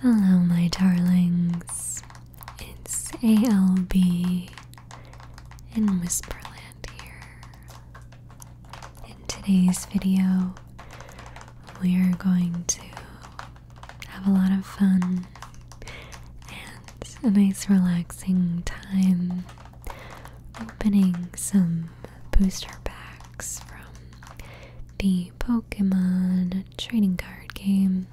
Hello, my darlings. It's ALB in Whisperland here. In today's video, we are going to have a lot of fun and a nice, relaxing time opening some booster packs from the Pokemon trading card game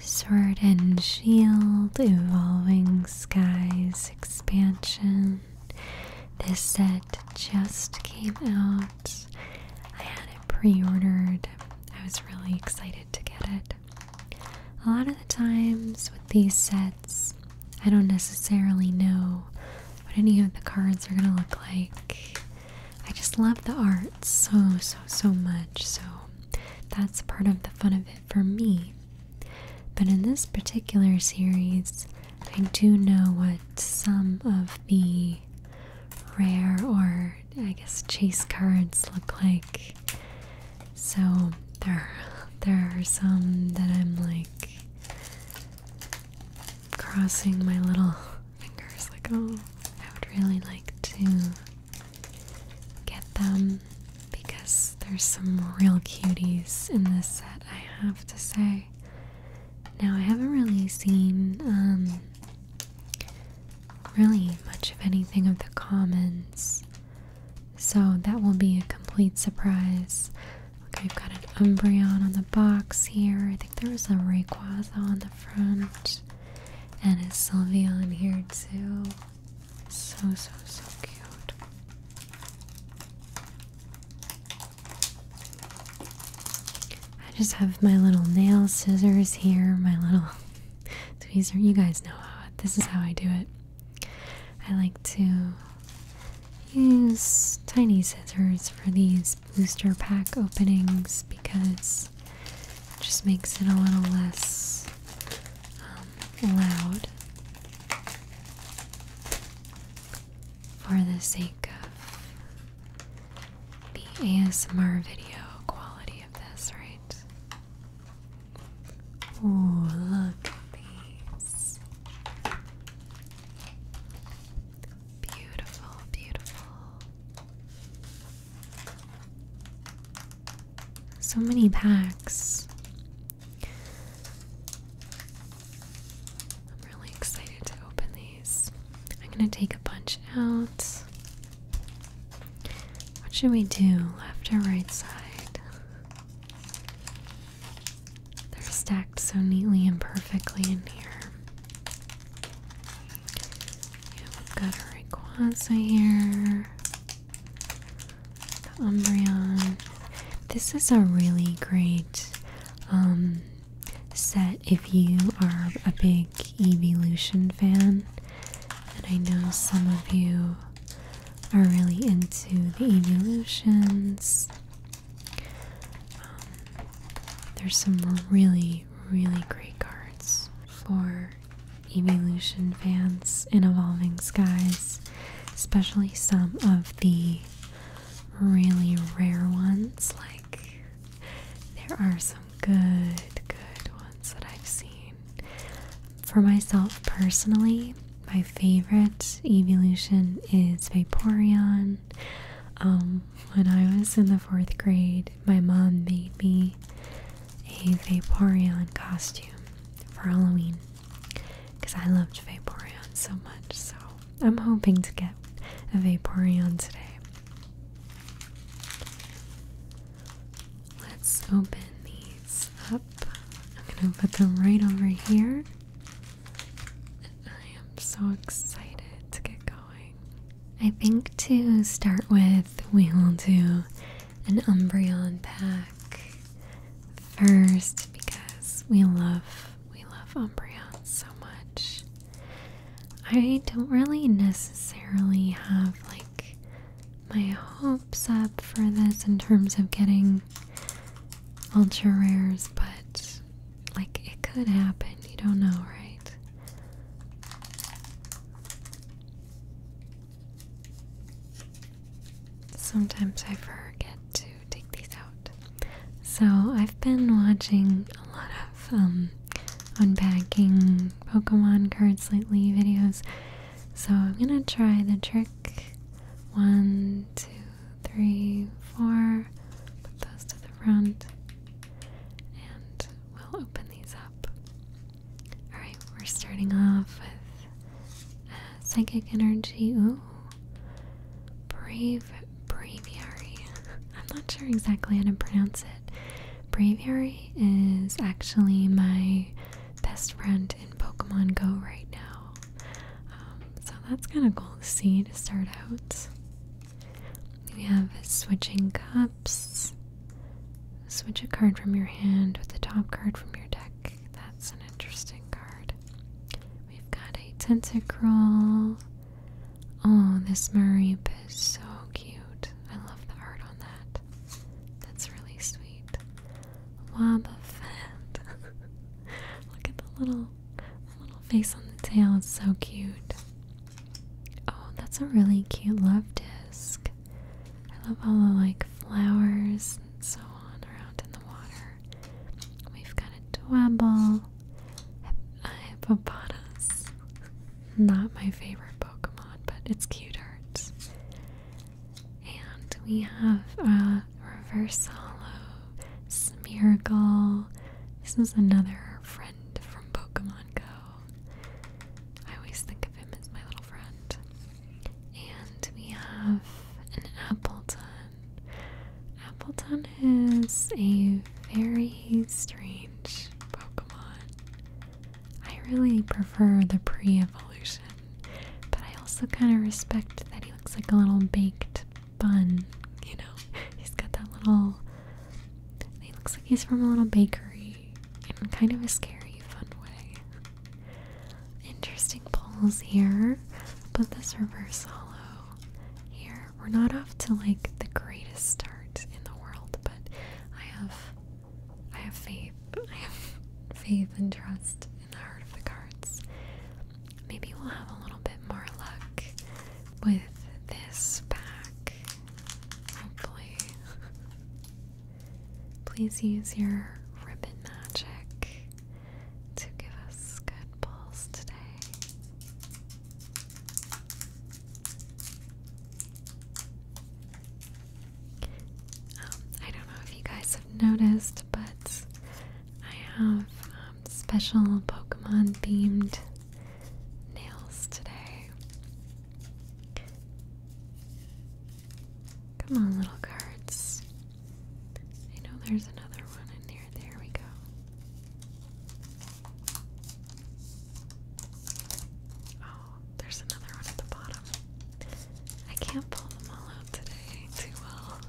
Sword and Shield Evolving Skies expansion. This set just came out. I had it pre ordered. I was really excited to get it. A lot of the times with these sets, I don't necessarily know what any of the cards are going to look like. I just love the art so, so, so much. So that's part of the fun of it for me. But in this particular series, I do know what some of the rare or I guess chase cards look like. So there, there are some that I'm like, crossing my little fingers like oh I would really like to get them because there's some real cuties in this set I have to say. Now I haven't really seen um really much of anything of the commons. So that will be a complete surprise. Okay, I've got an Umbreon on the box here. I think there was a Rayquaza on the front. And it's Sylvia in here too? So, so, so cute. I just have my little nail scissors here, my little tweezer. You guys know how this is how I do it. I like to use tiny scissors for these these booster pack openings because it just makes it a little less um, loud for the sake of the ASMR video quality of this, right? Ooh, look at these. Beautiful, beautiful. So many packs. I'm really excited to open these. I'm going to take a bunch out. What should we do? Left or right side? They're stacked so neatly and perfectly in here we've got a Rayquaza here. The Umbreon. This is a really great um, set if you are a big Evolution fan. And I know some of you are really into the Evolutions. Um, there's some really really, great cards for evolution fans in Evolving Skies, especially some of the really rare ones. Like, there are some good, good ones that I've seen. For myself personally, my favorite evolution is Vaporeon. Um, when I was in the fourth grade, my mom made me a Vaporeon costume for Halloween because I loved Vaporeon so much. So I'm hoping to get a Vaporeon today. Let's open these up. I'm going to put them right over here. I am so excited to get going. I think to start with, we will do an Umbreon pack first because we love we love Umbreon so much. I don't really necessarily have like my hopes up for this in terms of getting ultra rares, but like it could happen. You don't know, right? Sometimes I forget to take these out. So I've been watching a lot of um, unpacking Pokemon cards lately videos. So I'm gonna try the trick. One, two, three, four. Put those to the front. And we'll open these up. Alright, we're starting off with uh, Psychic Energy. Ooh. Brave Braviary. I'm not sure exactly how to pronounce it. Braviary is actually my best friend in Pokemon Go right now. Um, so that's kind of cool to see to start out. We have switching cups. Switch a card from your hand with the top card from your deck. That's an interesting card. We've got a tentacruel. Oh, this Mareep is so cute. I love the heart on that. That's really sweet. Wobbuffet. Look at the little, the little face on the tail. It's so cute. Oh, that's a really cute love disc. I love all the like flowers and so on around in the water. We've got a Dwebble, a Hippopotas. Not my favorite Pokemon, but it's cute art. And we have a Reverse Hollow, Smeargle. This is another friend from Pokemon Go. I always think of him as my little friend. And we have an Appleton. Appleton is a very strange Pokemon. I really prefer the pre evolution, but I also kind of respect that he looks like a little baked bun. You know, he's got that little he looks like he's from a little bakery in kind of a scary, fun way. Interesting polls here, but this reverse hollow here. We're not off to like the greatest start in the world, but I have I have faith. I have faith and trust in the heart of the cards. Maybe we'll have a little bit more luck with this pack Hopefully. Please use your ribbon magic to give us good pulls today. Um, I don't know if you guys have noticed, but I have um, special Pokemon themed nails today. Come on, little cards. I know there's another one in there. There we go. Oh, there's another one at the bottom. I can't pull them all out today too well.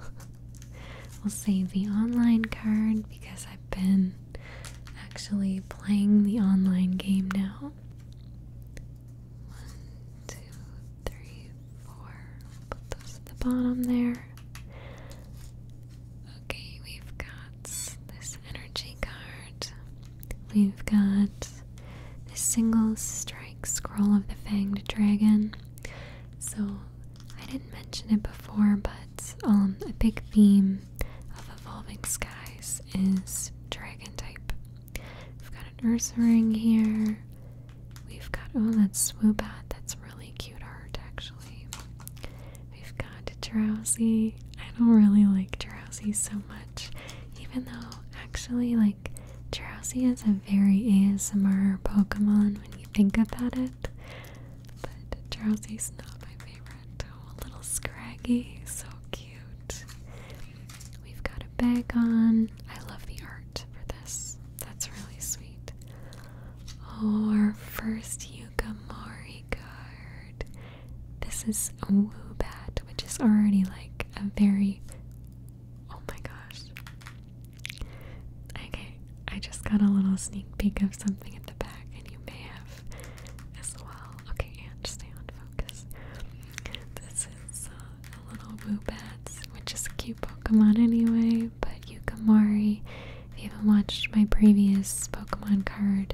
we'll save the online card because I've been actually playing the online game now. One, two, three, four. Put those at the bottom there. Okay, we've got this energy card. We've got this single strike scroll of the fanged dragon. So I didn't mention it before, but um, a big theme of Evolving Skies is dragon type. We've got an Ursaring here. We've got, oh, that's Swoobat. That's really cute art, actually. We've got Drowsy. I don't really like Drowsy so much, even though, actually, like, Drowsy is a very ASMR Pokemon when you think about it. But Drowsy's not my favorite a little scraggy. So cute. We've got a bag on. I love the art for this. That's really sweet. Oh, our first Yukamori card. This is a Woobat, which is already like a very. Oh my gosh. Okay, I just got a little sneak peek of something at the back, and you may have as well. Okay, and stay on focus. This is uh, a little Woobats, which is a cute Pokemon anyway, but Yukamori. If you haven't watched my previous Pokemon card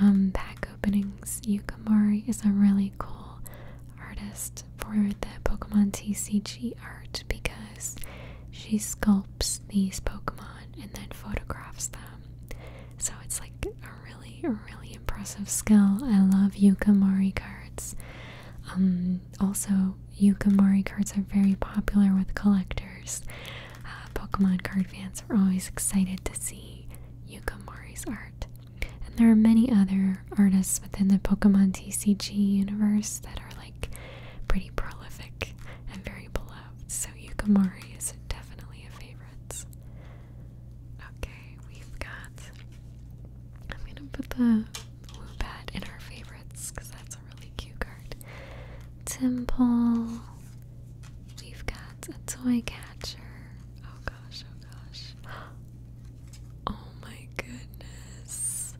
um, pack openings, Yukamori is a really cool artist for the Pokemon TCG art because she sculpts these Pokemon and then photographs them. So it's like a really, really impressive skill. I love Yukamori cards. Also, um, also, Yukamori cards are very popular with collectors. Uh, Pokemon card fans are always excited to see Yukamori's art. And there are many other artists within the Pokemon TCG universe that are like pretty prolific and very beloved. So Yukamori is definitely a favorite favorites. Okay, we've got. I'm gonna put the Woobat in our favorites because that's a really cute card. Temple. We've got a toy catcher. Oh gosh, oh gosh. Oh my goodness.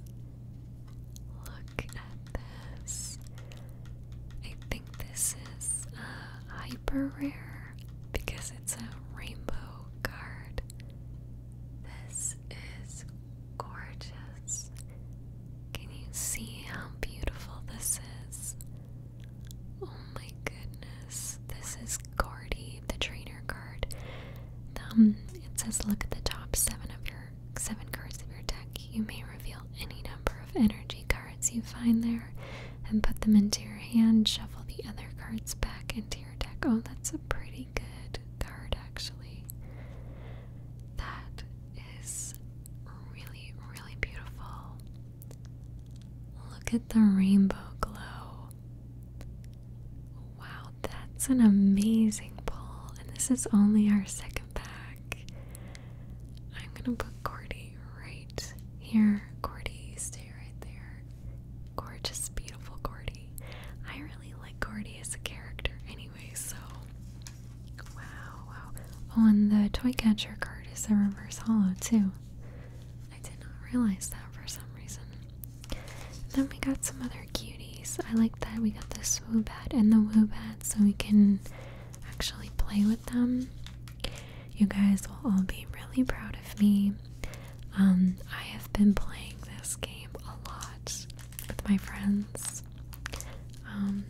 Look at that. I think this is uh, hyper rare because it's a rainbow card. This is gorgeous. Can you see how beautiful this is? Oh my goodness. This is Gordy, the trainer card. Um, it says look at the top seven of your seven cards of your deck. You may reveal any number of energy cards cards you find there and put them into your hand. Shuffle the other cards back into your deck. Oh, that's a pretty good card, actually. That is really, really beautiful. Look at the rainbow glow. Wow, that's an amazing pull. And this is only our second pack. I'm gonna put Cordy right here. Gordy. stay right there. Gorgeous, beautiful Gordy. I really like Gordy as a character anyway, so. Wow, wow. Oh, and the toy catcher card is a reverse hollow, too. I did not realize that for some reason. Then we got some other cuties. I like that we got the Swoobat and the wubat, so we can actually play with them. You guys will all be really proud of me. Um, I have been playing this game a lot with my friends. Um,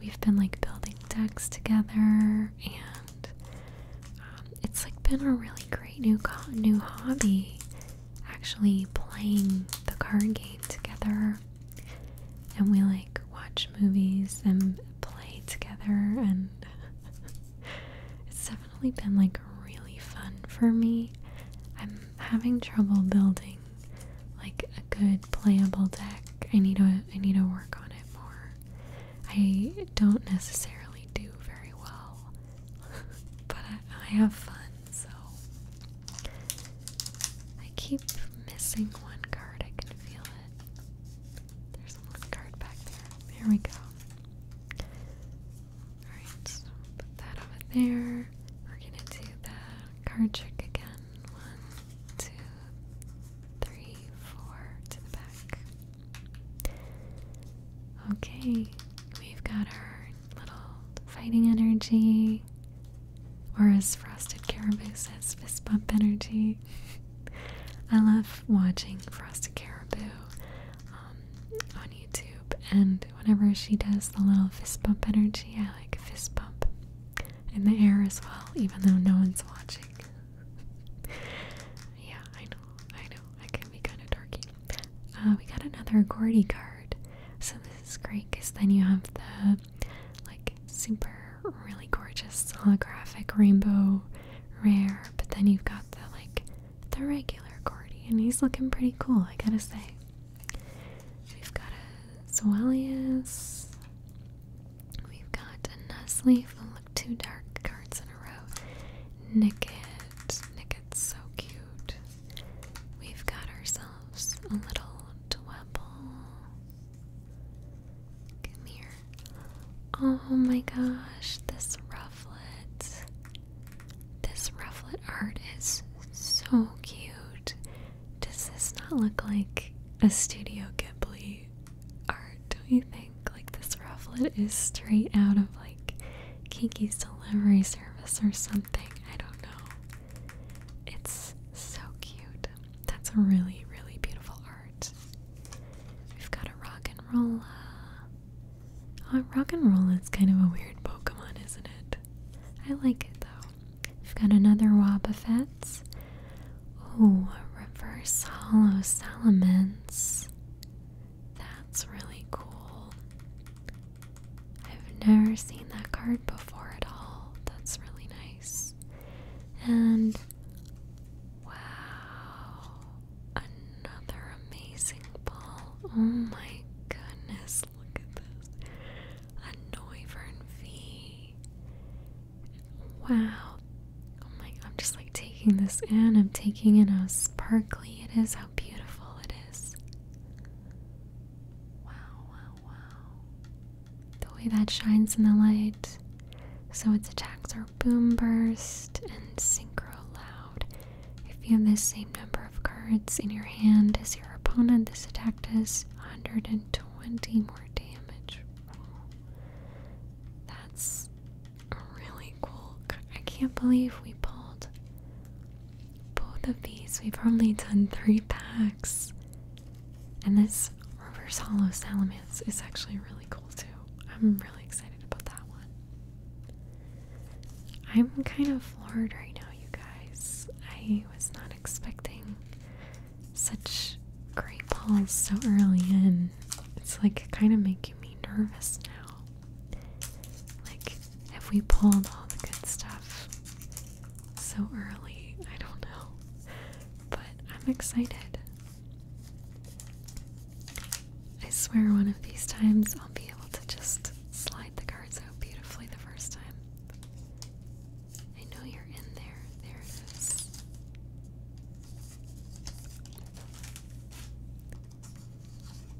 we've been like building decks together, and um, it's like been a really great new new hobby. Actually, playing the card game together and we like watch movies and play together and it's definitely been like really fun for me. I'm having trouble building like a good playable deck. I need to I need to work on it more. I don't necessarily do very well, but I, have fun. So I keep missing one card. I can feel it. There's one card back there. There we go. Alright, put that over there. We're gonna do the card trick again. One, two, three, four to the back. Okay, we've got our little fighting energy or as Frosted Caribou says, fist bump energy. I love watching Frosted Caribou um, on YouTube, and whenever she does the little fist bump energy, I like fist bump in the air as well, even though no one's watching. yeah, I know, I know, I can be kind of dorky. Uh, we got another Gordy card, so this is great because then you have the like super really gorgeous holographic rainbow rare, but then you've got the like the regular Gordy, and he's looking pretty cool, I gotta say. We've got a Zoelius. We've got a Nuzleaf. Don't look too dark cards in a row. Nicket. Nicket's so cute. We've got ourselves a little Dwebble. Come here. Oh my gosh, this rufflet. This rufflet art is so cute. Does this not look like a Studio Ghibli art, don't you think? Like, this rufflet is straight out of like Kiki's delivery service or something. I don't know. It's so cute. That's a really, really beautiful art. We've got a rock and roll. Uh, uh, rock and roll is kind of a weird Pokemon, isn't it? I like it though. We've got another Wobbuffet. Oh, reverse hollow Salamence. That's really cool. I've never seen that card before at all. That's really nice. And wow, another amazing ball. Oh my goodness, look at this. A Noivern V. Wow. Oh my god, I'm just like taking this in. I'm taking in how sparkly it is, how beautiful it is. Wow, wow, wow. The way that shines in the light. So its attacks are boom burst and synchro loud. If you have the same number of cards in your hand as your opponent, this attack does 120 more damage. That's really cool. I can't believe we pulled both of these. We've only done three packs. And this reverse hollow salamence is actually really cool too. I'm really excited about that one. I'm kind of floored right now, you guys. I was not expecting such great balls so early in. It's like kind of making me nervous now. Like, have we pulled all the good stuff so early? I don't know but I'm excited. I swear one of these times I'll be able to just slide the cards out beautifully the first time. I know you're in there. There it is.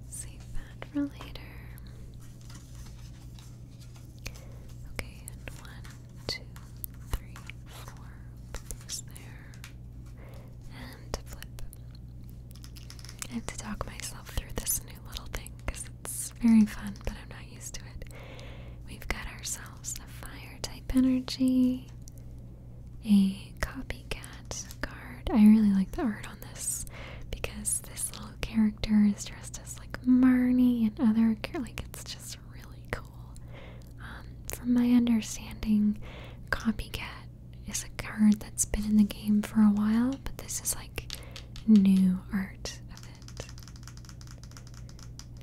Save that for later. Okay, and one, two, three, four. Place there. And flip. I have to talk myself through this new little thing because it's very fun, but I'm not used to it. We've got ourselves a fire type energy, a copycat card. I really like the art on this because this little character is dressed as like Marnie and other like it's just really cool. Um, from my understanding, copycat is a card that's been in the game for a while, but this is like new art of it.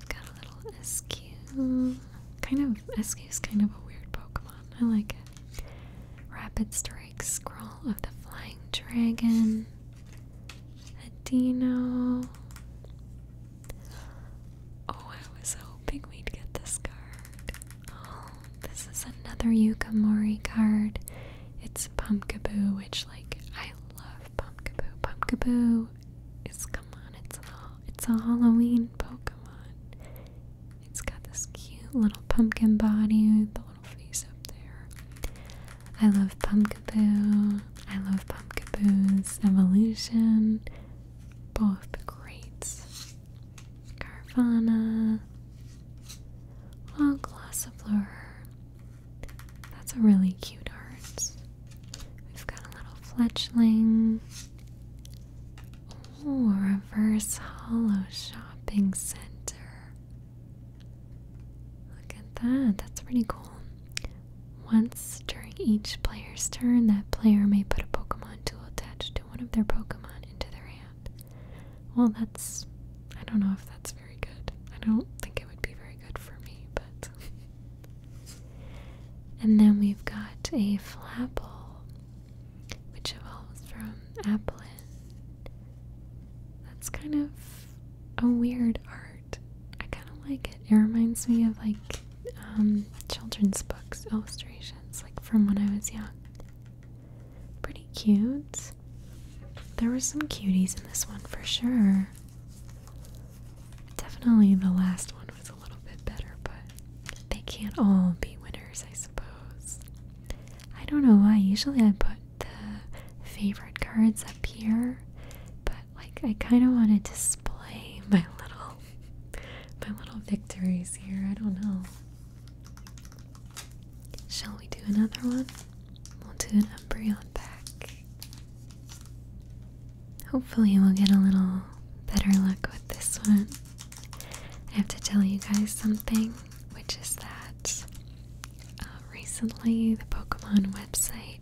Got a little Eskew. Kind of, Eskew is kind of a weird Pokemon. I like it. Rapid Strike Scroll of the Flying Dragon. A Oh, I was hoping we'd get this card. Oh, this is another Yukamori card. It's Pumpkaboo, which like I love Pumpkaboo. Pumpkaboo is come on, it's a it's a Halloween Pokemon. It's got this cute little pumpkin body, with the little face up there. I love Pumpkaboo. I love Pumpkin Pumpkaboo's Evolution. Both great. Carvana. Well, Glossifleur. That's a really cute art. We've got a little fletchling. Ooh, reverse hollow shopping center. Look at that. That's pretty cool. Once during each player's turn, that player may put a Pokemon tool attached to one of their Pokemon into their hand. Well, that's. I don't know if that's very good. I don't think it would be very good for me, but. and then we've got a Flapple, which evolves from Applin. That's kind of a weird art. I kind of like it. It reminds me of like um, children's books illustrations, like from when I was young. Pretty cute. There were some cuties in this one for sure. Definitely the last one was a little bit better, but they can't all be winners, I suppose. I don't know why. Usually I put the favorite cards up here, but like I kind of want to display my little my little victories here. I don't know. Shall we do another one? We'll do an Umbreon pack. Hopefully we'll get a little better luck with this one. I have to tell you guys something, which is that uh, recently the Pokemon website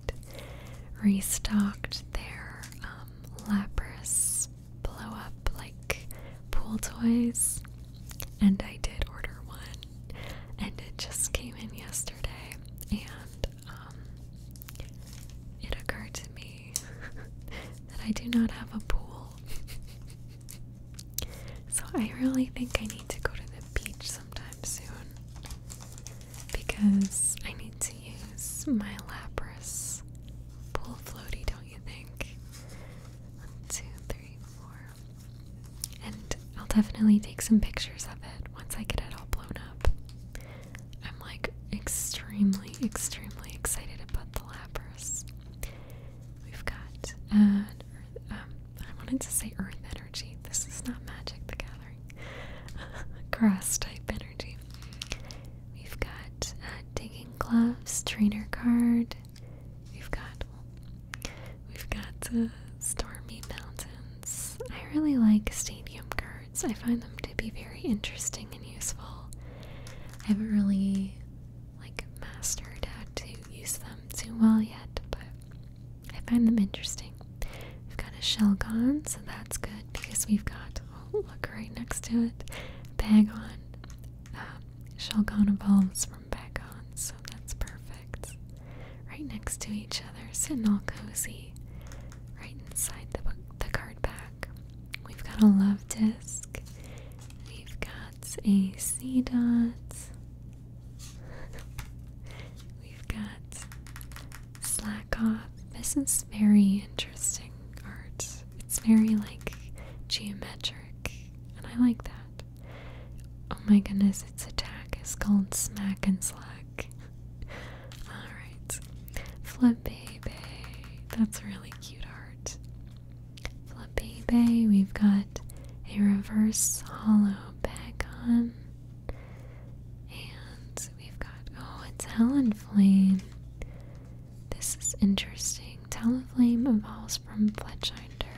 restocked their um, blow up like pool toys, and I did order one, and it just came in yesterday, and um, it occurred to me that I do not have a pool. so I really think I need to go to the beach sometime soon because I need to use my Lapras pull floaty, don't you think? One, two, three, four. And I'll definitely take some pictures of it once I get it all blown up. I'm like extremely, extremely excited about the Lapras. We've got, uh, I wanted to say Earth Energy. This is not Magic the Gathering. Cross type energy. We've got uh, digging gloves, trainer card. We've got we've got uh, stormy mountains. I really like stadium cards. I find them to be very interesting and useful. I haven't really like mastered how to use them too well yet, but I find them interesting. We've got a shell gone, so that's good because we've got, oh, look right next to it, bag on. Um, shell gone evolves from bag on, so that's perfect. Right next to each other, sitting all cozy. Right inside the, the card back, we've got a love disc. We've got a C dot. We've got Slash God, This is very interesting art. It's very like geometric, and I like that. Oh my goodness, its attack is called Smack and Slack. Alright. Bay. That's really cute art. Flippy Bay. we've got a reverse hollow back on. And we've got? Oh, it's Helen Flame. This is interesting. Helen Flame evolves from Fletchinder.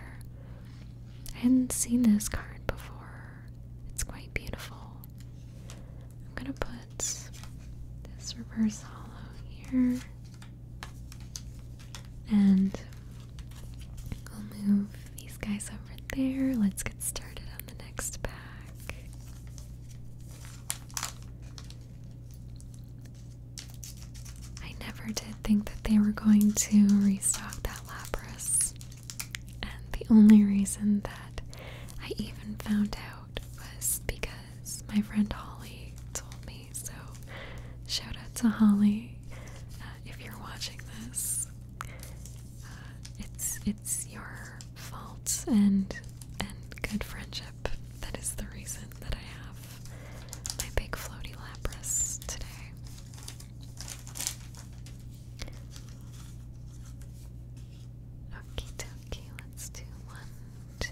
I hadn't seen this card before. It's quite beautiful. I'm gonna put this reverse hollow here. And we'll move these guys over there. Let's get started on the next pack. I never did think that they were going to restock that Lapras. And the only reason that I even found out was because my friend Holly told me. So, shout out to Holly uh, if you're watching this. Uh, it's it's your faults and and good friendship. That is the reason that I have my big floaty Lapras today. Okie dokie, let's do one, two,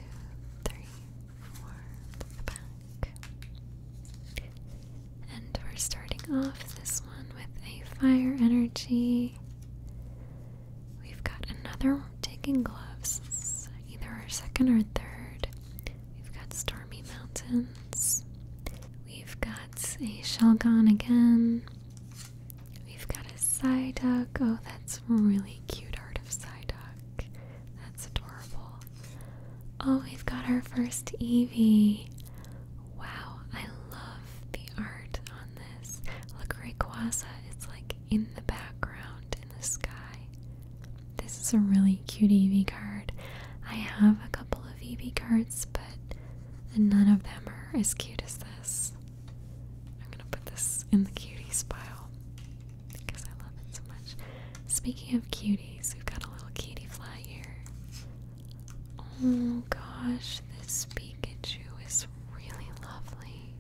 three, four, back. And we're starting off this one with a fire energy. We've got another digging gloves, either our second or third. We've got stormy mountains. We've got a Shelgon again. We've got a Psyduck. Oh, that's really cute art of Psyduck. That's adorable. Oh, we've got our first Evie. Wow, I love the art on this. Look, Rayquaza is like in the background in the sky. This is a really cute EV card. I have a couple of EV cards, but none of them are as cute as this. I'm gonna put this in the cutie pile because I love it so much. Speaking of cuties, we've got a little cutie fly here. Oh gosh, this Pikachu is really lovely.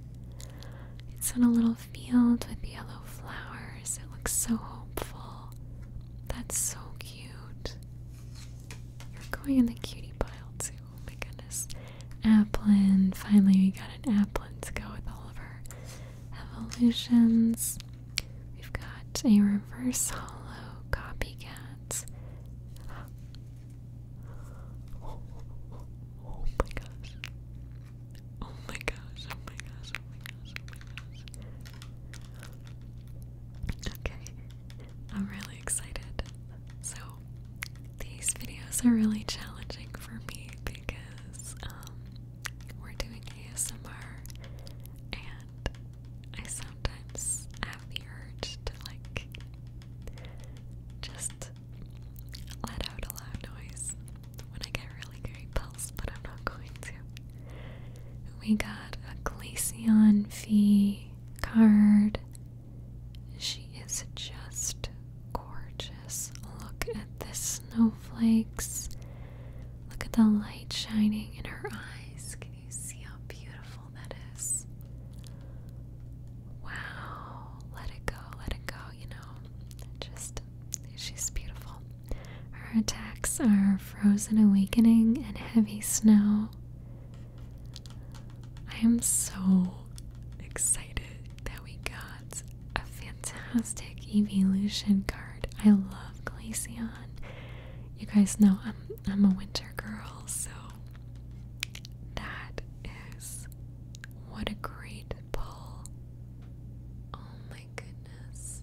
It's in a little field with yellow flowers. It looks so hopeful. That's so cute. You're going in the cutie pile too. Oh my goodness. Applin. Finally, we got an Applin to go with all of our evolutions. We've got a reverse hollow copycat. Oh, my gosh. Oh my gosh, oh my gosh, oh my gosh, oh my gosh. Okay, I'm really excited. So, these videos are really challenging for me because um, we're doing ASMR and I sometimes have the urge to like just let out a loud noise when I get really great repulsed, but I'm not going to. We got a Glaceon Fee card. She is just gorgeous. Look at the snowflakes. Look at the light shining in her eyes. Can you see how beautiful that is. Wow, let it go, let it go, you know. Just, she's beautiful. Her attacks are frozen awakening and heavy snow. I am so excited that we got a fantastic evolution card. I love Glaceon. You guys know I'm I'm a winter girl. So that is what a great pull. Oh my goodness.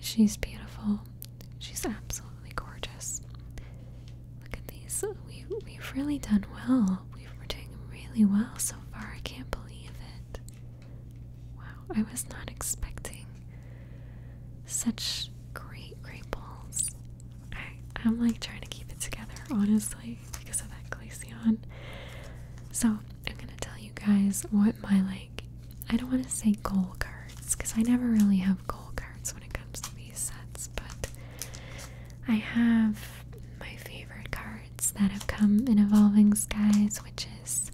She's beautiful. She's absolutely gorgeous. Look at these. We we've really done well. We've, we doing really well so far. I can't believe it. Wow, I was not expecting such great great balls. I, am like trying to keep it together, honestly, because of that Glaceon. So, I'm gonna tell you guys what my like, I don't want to say goal cards, because I never really have goal cards when it comes to these sets, but I have my favorite cards that have come in Evolving Skies, which is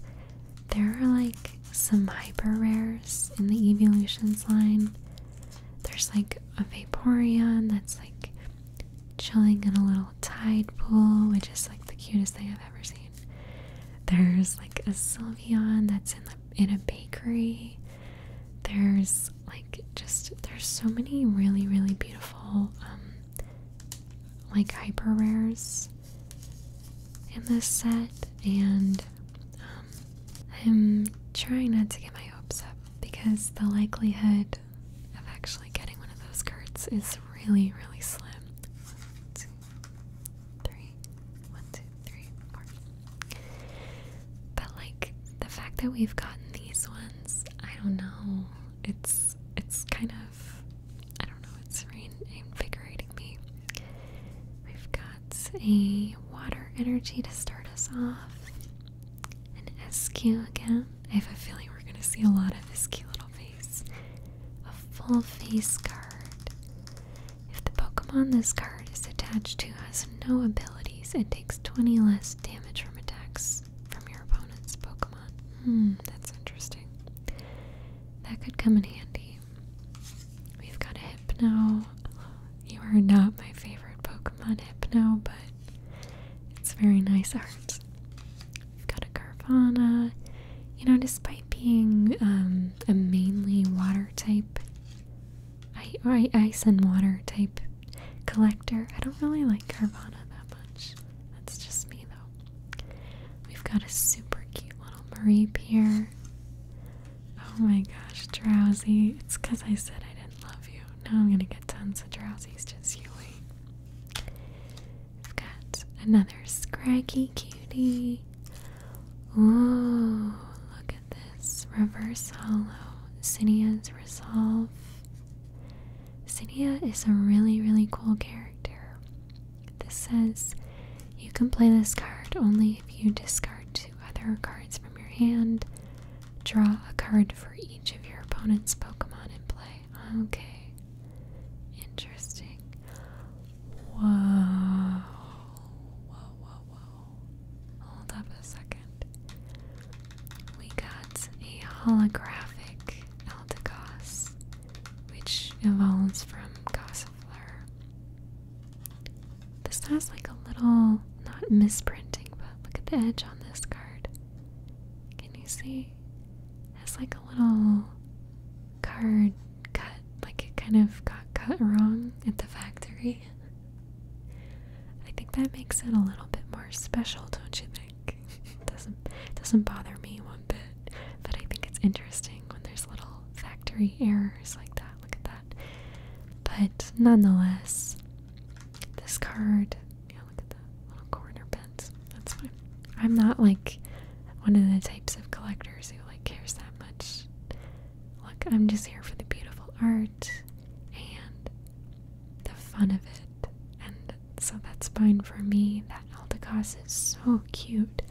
there are like some hyper rares in the Evolutions line there's like a Vaporeon that's like chilling in a little tide pool, which is like the cutest thing I've ever seen. There's like a Sylveon that's in the, in a bakery. There's like just there's so many really really beautiful um, like hyper rares in this set and um, I'm trying not to get my hopes up because the likelihood of actually getting one of those cards is really, really slim. But like the fact that we've gotten these ones, I don't know. It's it's kind of I don't know. It's reinvigorating me. We've got that's a water energy to start us off. An SQ again. I have a feeling we're gonna see a lot of this little face. A full face card. If the Pokemon this card is attached to has no abilities, it takes 20 less damage from attacks from your opponent's Pokemon. Hmm, that's interesting. That could come in handy. We've got a Hypno. You are not my favorite Pokemon Hypno, but it's very nice art. We've got a Carvana. You know, despite being um, a mainly water type, I, ice and water type collector, I don't really like Carvana that much. That's just me though. We've got a super cute little Marie here. Oh my gosh, drowsy. It's because I said I didn't love you. Now I'm going to get tons of drowsies, just you we have got another scraggy cutie. Ooh, look at this. Reverse hollow. Zinnia's Resolve. Zinnia is a really, really cool character. This says you can play this card only if you discard two two other cards from your hand. Draw a card for each of your opponent's Pokemon in play. Okay. Interesting. Wow. Whoa, whoa, whoa. Hold up a second. We got a holographic Eldegoss, which evolves from Gossifleur. This has like a little, not misprinting, but look at the edge on this card. Can you see? It's like a little card cut, like it kind of got cut wrong at the factory. I think that makes it a little bit more special, don't you think? it doesn't doesn't bother me one bit, but I think it's interesting when there's little factory errors like that. Look at that. But nonetheless, this card, yeah, look at the little corner bent. That's fine. I'm not like one of the types of collectors who like cares that much. Look, I'm just here for the beautiful art and the fun of it. And so that's fine for me. That Aldegoss is so cute.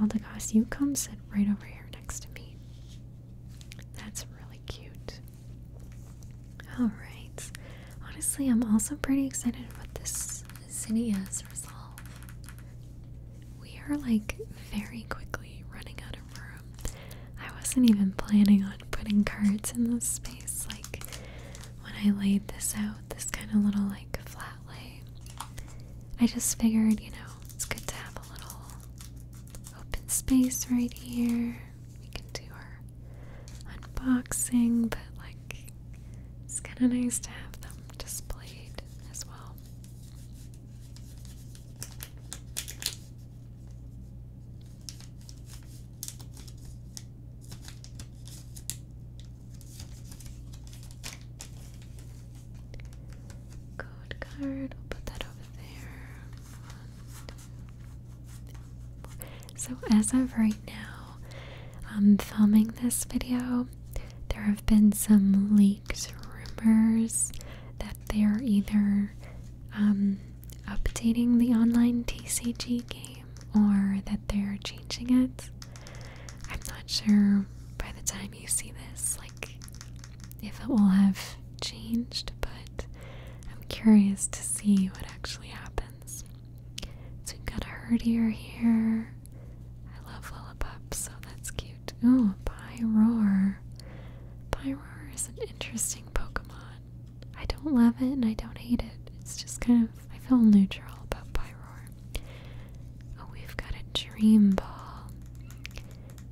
Aldegoss, you come sit right over here next to me. That's really cute. Alright. Honestly, I'm also pretty excited about this Zinnia's resolve. We are like very quickly running out of room. I wasn't even planning on putting cards in this space. Like when I laid this out, this kind of little like flat lay. I just figured, you know, it's good to have a little open space right here. We can do our unboxing, but like it's kind of nice to have them displayed as well. Code card, we'll put that over there. So, as of right now, I'm filming this video. There have been some leaked rumors that they are either um, updating the online TCG game or that they're changing it. I'm not sure by the time you see this, like, if it will have changed, but I'm curious to see what actually happens. So we've got a herdier here. I love Lillipup, so that's cute. Oh, Pyroar. Pyroar is an interesting Pokemon. I don't love it and I don't hate it. It's just kind of, I feel neutral about Pyroar. Oh, we've got a Dream Ball.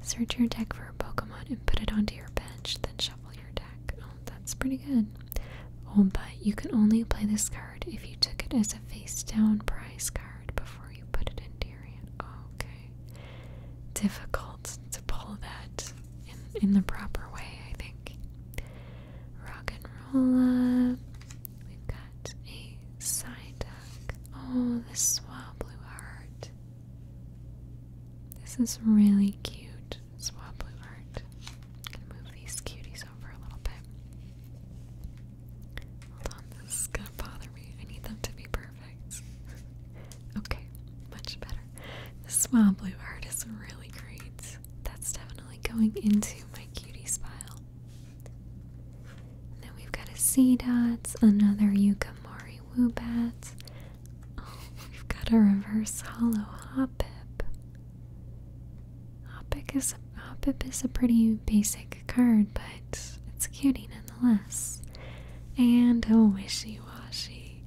Search your deck for a Pokemon and put it onto your bench, then shuffle your deck. Oh, that's pretty good. Oh, but you can only play this card if you took it as a face down prize card before you put it into your hand. okay. Difficult to pull that in, in the proper way, I think. Rock and roll We've got a side deck. Oh, the Swablu heart. This is really cute. Swap blue art. gonna move these cuties over a little bit. Hold on, this is gonna bother me. I need them to be perfect. okay, much better. swab blue art is really great. That's definitely going into my cutie pile. then we've got a a C dots, another Yukamori three Woobats. we've got a reverse hollow Hoppip. Hoppip is, Hoppip is a pretty basic card, but it's cutie nonetheless. And a Wishy Washy.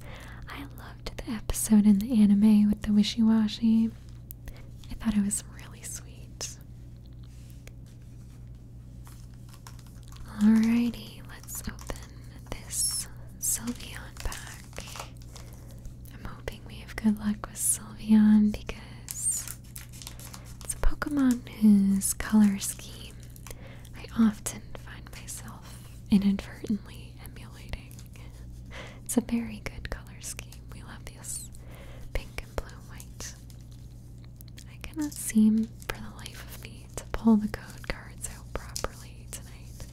I loved the episode in the anime with the Wishy Washy. I thought it was really sweet. Alrighty, let's open this Sylveon pack. I'm hoping we have good luck with Sylveon because it's a Pokemon whose color scheme I often find myself inadvertently emulating. It's a very good color scheme. We love this pink and blue and white. I cannot seem for the life of me to pull the code cards out properly tonight.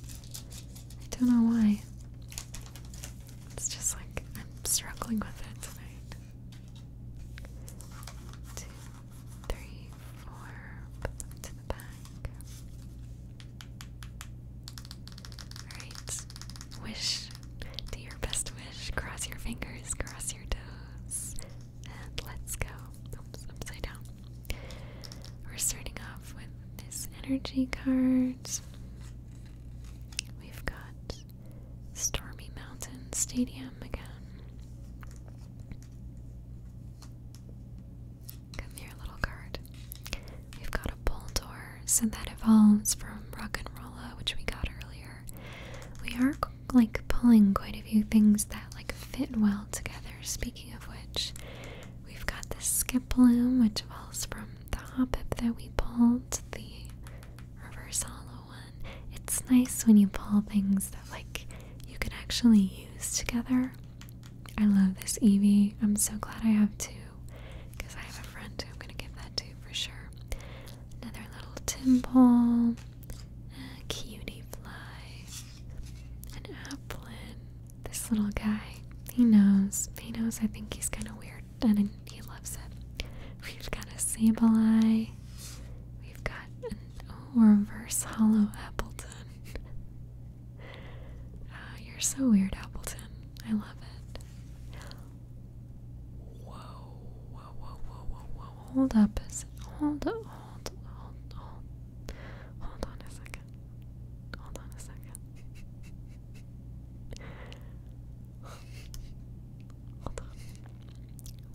I don't know why. It's just like I'm struggling with it tonight. Two, three, four, put them to the back. Alright. Wish, do your best wish. Cross your fingers, cross your toes let's go. upside down. We're starting off with this energy card. We've got Stormy Mountain Stadium again. Come here, little card. We've got a Bulldor, so that evolves from Rock and Rolla, which we got earlier. We are like pulling quite a few things that like fit well together. Speaking of which, we've got this skip loom, which falls from the hop up that we pulled, the reverse hollow one. It's nice when you pull things that like you can actually use together. I love this Eevee. I'm so glad I have two because I have a friend who I'm gonna give that to for sure. Another little tin pole a cutie fly, an applin. This little guy, he knows. He knows I think he's kind of weird and he loves it. We've got a Sableye. We've got an oh, reverse hollow Appleton. Ah, you're so weird, Appleton. I love it. Whoa, whoa, whoa, whoa, whoa, Hold up. Hold up hold, hold, hold, hold on a second. Hold on a second. hold on.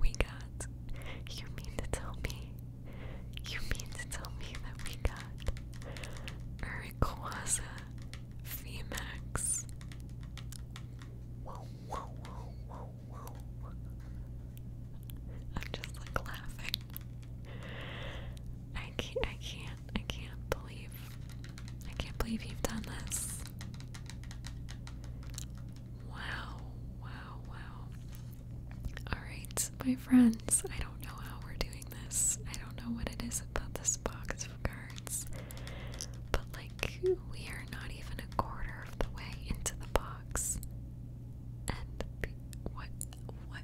We got. You mean to tell me? You mean to tell me that we got Urquaza VMAX? Whoa, I'm just like laughing. I can't, I can't, I can't believe, I can't believe you've done this. Wow, wow, wow. Alright, my friends, I don't know how we're doing this. I don't know what it is about this box of cards, but like, we are not even a quarter of the way into the box and what what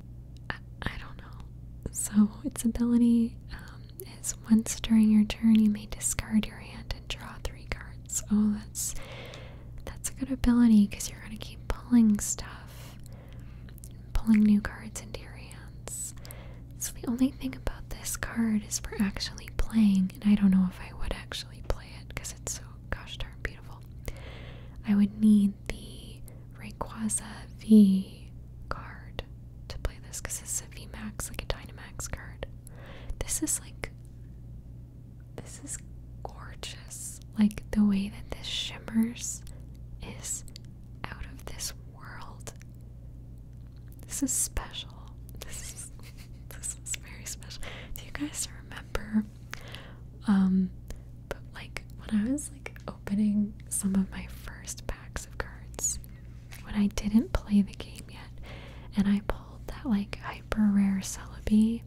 I, don't know. So its ability um, is once during your turn you may discard your hand and draw three cards. Oh, that's that's a good ability because you're gonna keep pulling stuff, pulling new cards into your hands. So the only thing about this card is for actually playing, and I don't know if I would actually play it because it's so gosh darn beautiful. I would need the Rayquaza V card to play this because it's is a VMAX, like a Dynamax card. This is like, this is gorgeous. Like the way that this shimmers is out of this world. This is special. This is this is very special. Do you guys remember um, but like when I was like opening some of my first packs of cards, when I didn't play the game yet, and I pulled that like hyper rare Celebi,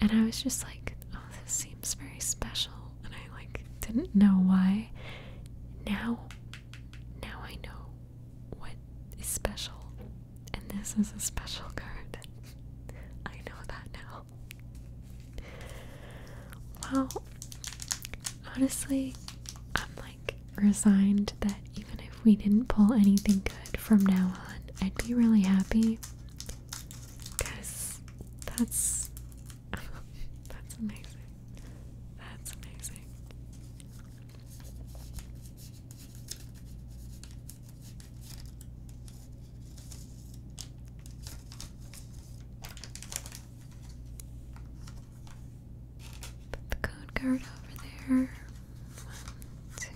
and I was just like, oh, this seems very special, and I like didn't know why. Now, now I know what is special and this is a special card. I know that now. Well, honestly, I'm like resigned that even if we didn't pull anything good from now on, I'd be really happy. Because that's. that's amazing. That's amazing the code card over there. One, two,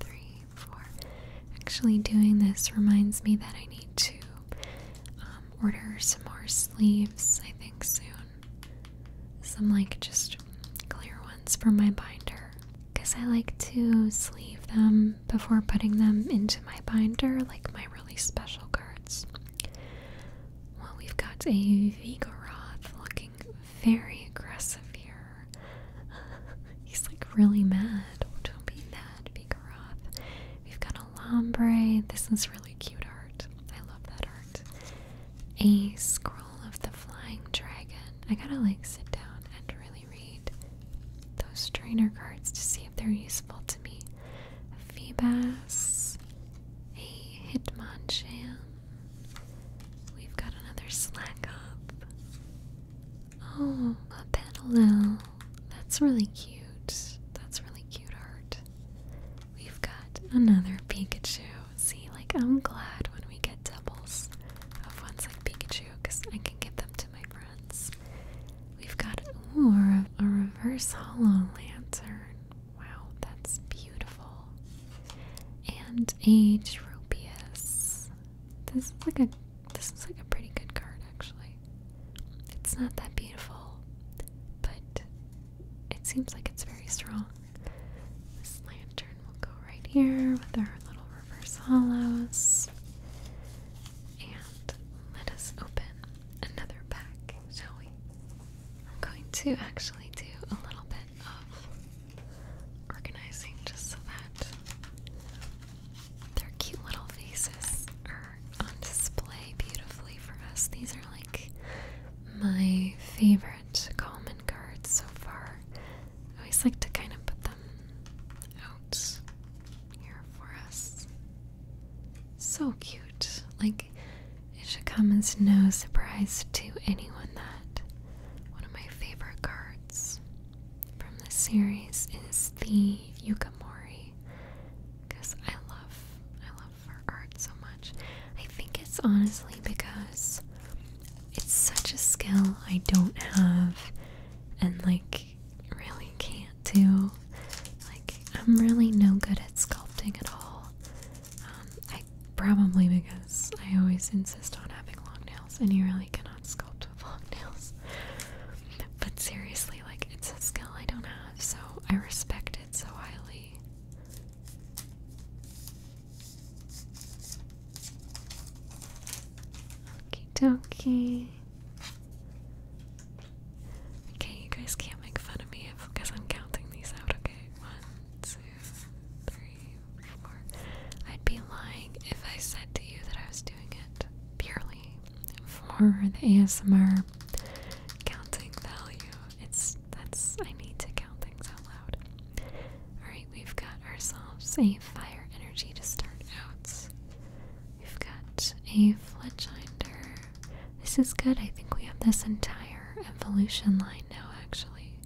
three, four. Actually, doing this reminds me that I need to um, order some more sleeves, I think, soon. Some, like, just clear ones for my binder because I like to sleeve them before putting them into my binder, like my really special cards. Well, we've got a Vigoroth looking very aggressive here. He's like really mad. Oh, don't be mad, Vigoroth. We've got a Lombre. This is really cute art. I love that art. A Scroll of the Flying Dragon. I gotta like sit down and really read those trainer cards to see if they're useful to me. A Feebas, a Hitmonchan. We've got another slack up. Oh, a Petalil. That's really cute. That's really cute art. We've got another Pikachu. See, like I'm glad when we get to of ones like Pikachu because I can give them to my friends. We've got ooh, a, a reverse hollow lantern. Wow, that's beautiful. And a Tropius. This is like a this is like a pretty good card actually. It's not that beautiful, but it seems like it's very strong. This lantern will go right here with our little reverse hollows. And let us open another pack, shall we? I'm going to actually do a little bit of organizing just so that their cute little faces are on display beautifully for us. These are like my favorite common cards so far. I always like to kind of put them out here for us. So cute. Like, it should come as no surprise to anyone that one of my favorite cards from this series is the Yukamori. Because I love, I love her art so much. I think it's honestly because it's such a skill I don't have and like really can't do. Like, I'm really no good at sculpting at all. Um, probably because I always insist on having long nails, and you really cannot sculpt with long nails. But seriously, like, it's a skill I don't have, so I respect it so highly. Okie dokie. Okay, you guys can't make fun of me because I'm counting these out, okay? One, two, three, four. I'd be lying if I said to you that I was doing it purely for the ASMR counting value. It's that's I need to count things out loud. Alright, we've got ourselves a fire energy to start out. We've got a Fletchinder. This is good. I think we have this entire evolution line now, actually.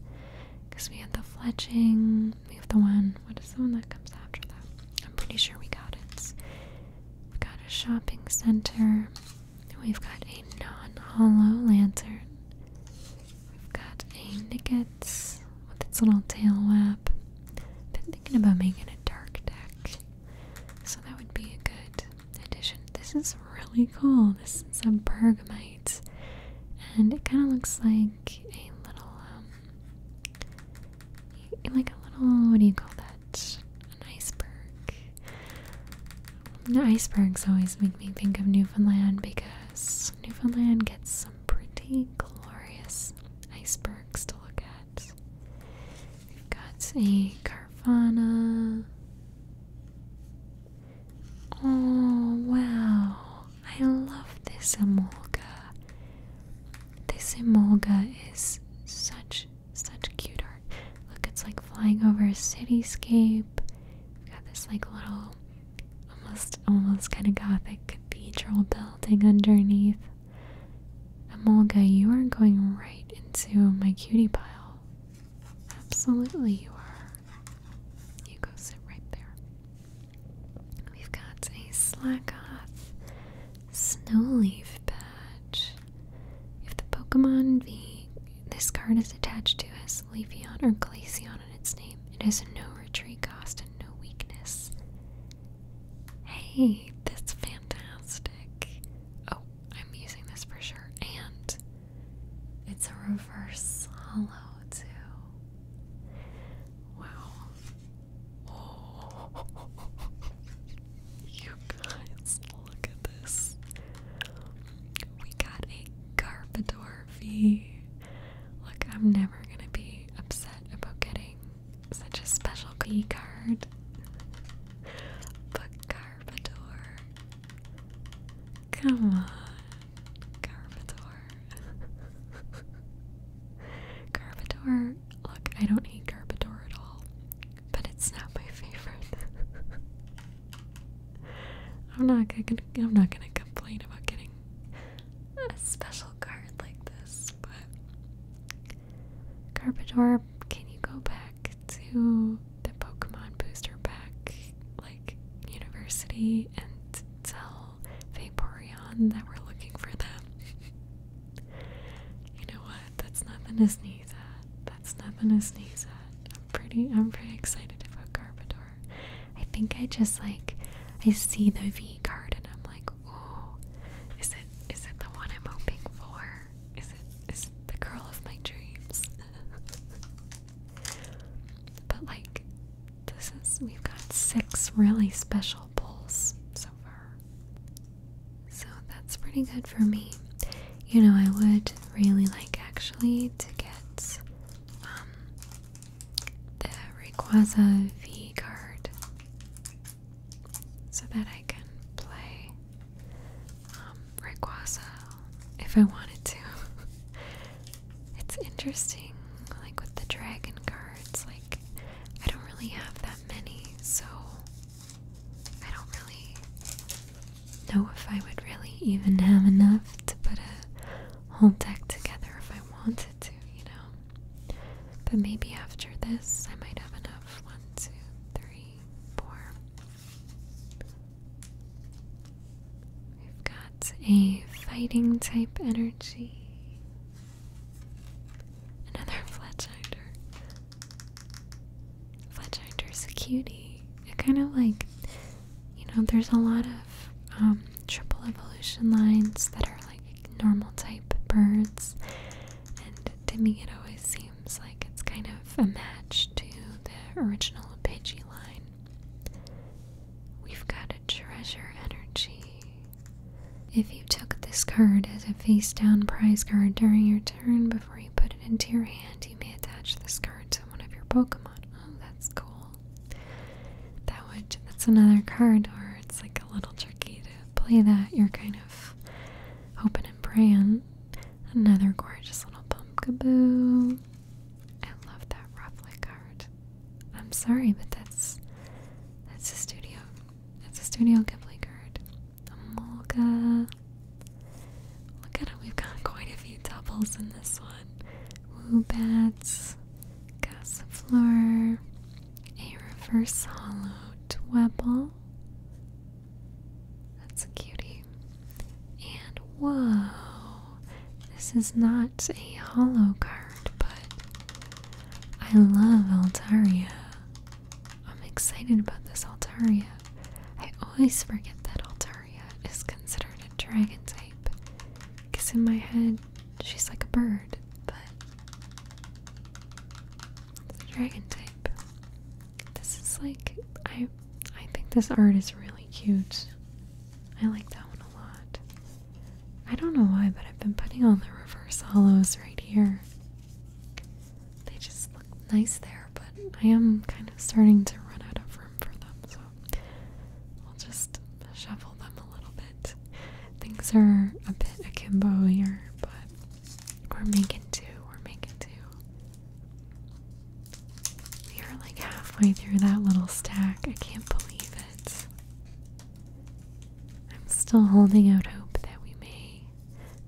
Because we have the fledging. we have the one, what is the one that comes after that? I'm pretty sure we got it. We've got a shopping center. We've got a non hollow lantern. We've got a Nicket with its little tail wrap. Been thinking about making a dark deck, so that would be a good addition. This is really cool. This is a bergamite, and it kind of looks like a little um, like a little what do you call that? An iceberg. The icebergs always make me think of Newfoundland because Newfoundland gets some pretty glorious icebergs to look at. We've got a Carvana. Oh wow, I love this emolga. This emolga is such such cute art. Look, it's like flying over a cityscape. We've got this like little almost almost kind of gothic cathedral building underneath. Amolga, you are going right into my cutie pile. Absolutely you are. You go sit right there. We've got a Slackoth Snowleaf patch. If the Pokemon V this card is attached to has Leafeon or Glaceon in its name, it has no retreat cost no weakness. Hey, that's fantastic. Oh, I'm using this for sure. And it's a reverse hollow, too. Wow. You guys, look at this. We got a Garpador V. Look, I'm never gonna be upset about getting such a special key card. But Garbador, Come on. Garbador, Carpador. Look, I don't hate Garbador at all. But it's not my favorite. I'm not gonna I'm not gonna complain about getting a special card like this, but Carpador, can you go back to the Pokemon Booster Pack, like University, and tell Vaporeon that we're looking for them? you know what? That's nothing to sneeze at. That's nothing to sneeze at. I'm pretty. I'm pretty excited about Carpador. I think I just like I see the V card and I'm like, oh, is it is it the one I'm hoping for? Is it is it the girl of my dreams? but like this is we've got six really special pulls so far. So that's pretty good for me. You know, I would really like actually to get um, the Rayquaza V card so that I can play um, if I wanted to. it's interesting, like with the dragon cards, like I don't really have that many, so I don't really know if I would really even have enough to put a whole deck together if I wanted to, you know. But maybe after this, I might have enough. One, two, three, four. We've got a fighting type energy. Another Fletchinder. Fletchinder's a cutie. It kind of like, you know, there's a lot of um, triple evolution lines that are like normal type birds, and to me it always seems like it's kind of a match to the original Pidgey line. We've got a treasure energy. If you took this card as a face down prize card during your turn before you put it into your hand, you may attach this card to one of your Pokemon. Oh, that's cool. That would that's another card Or it's like a little tricky to play that. You're kind of hoping and praying. Another gorgeous little pumpkaboo. I love that ruffly card. I'm sorry, but that's that's a studio. That's a Studio Ghibli card. A Molga. Look at it, we've got quite a few doubles in this one. Woobats, Cassifleur, a reverse hollow Dwebble. That's a cutie. And whoa, this is not a hollow card, but I love Altaria. I'm excited about this Altaria. I always forget that Altaria is considered a dragon type because in my head she's like a bird, but dragon type. This is like I I think this art is really cute. I like that one a lot. I don't know why, but I've been putting all the reverse hollows right here. They just look nice there, but I am kind of starting to run out of room for them, so I'll just shuffle them a little bit. Things are a bit akimbo here, but we're making two. We're making two. We are like halfway through that little stack. I can't believe it. I'm still holding out hope that we may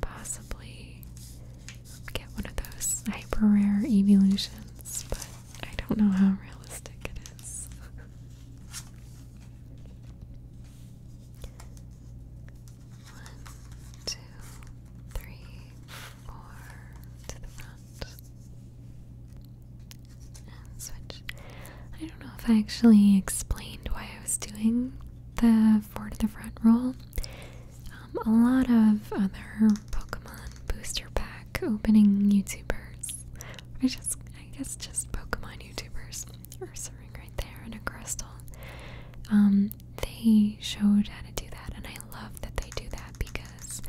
possibly get one of those hyper rare evolutions, but I don't know how realistic it is. One, two, three, four to the front. And switch. I don't know if I actually explained why I was doing the four to the front roll. Um, a lot of other Pokemon booster pack opening YouTubers are just I guess just Pokemon YouTubers. are serving right there in a crystal. Um, they showed how to do that, and I love that they do that because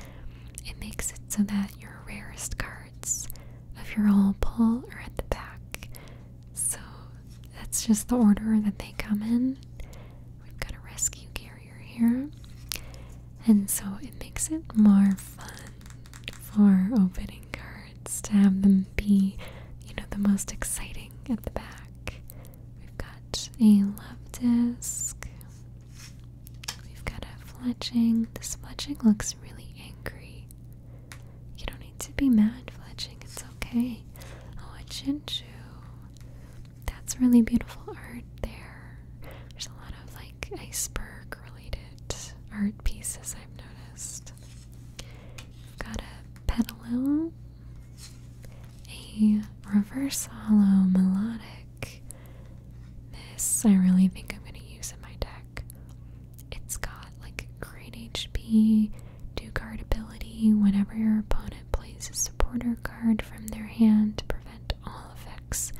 it makes it so that your rarest cards of your whole pull are at the back. So that's just the order that they come in. We've got a rescue carrier here. And so it makes it more fun for opening cards to have them be, you know, the most exciting at the back. We've got a love disc. We've got a fletching. This fletching looks really angry. You don't need to be mad, fletching. It's okay. Oh, a chinchu. That's really beautiful art there. There's a lot of like iceberg related art pieces I've noticed. Got a pedalil, a reverse hollow melodic. This I really think I'm going to use in my deck. It's got like great HP, do card ability whenever your opponent plays a supporter card from their hand to prevent all effects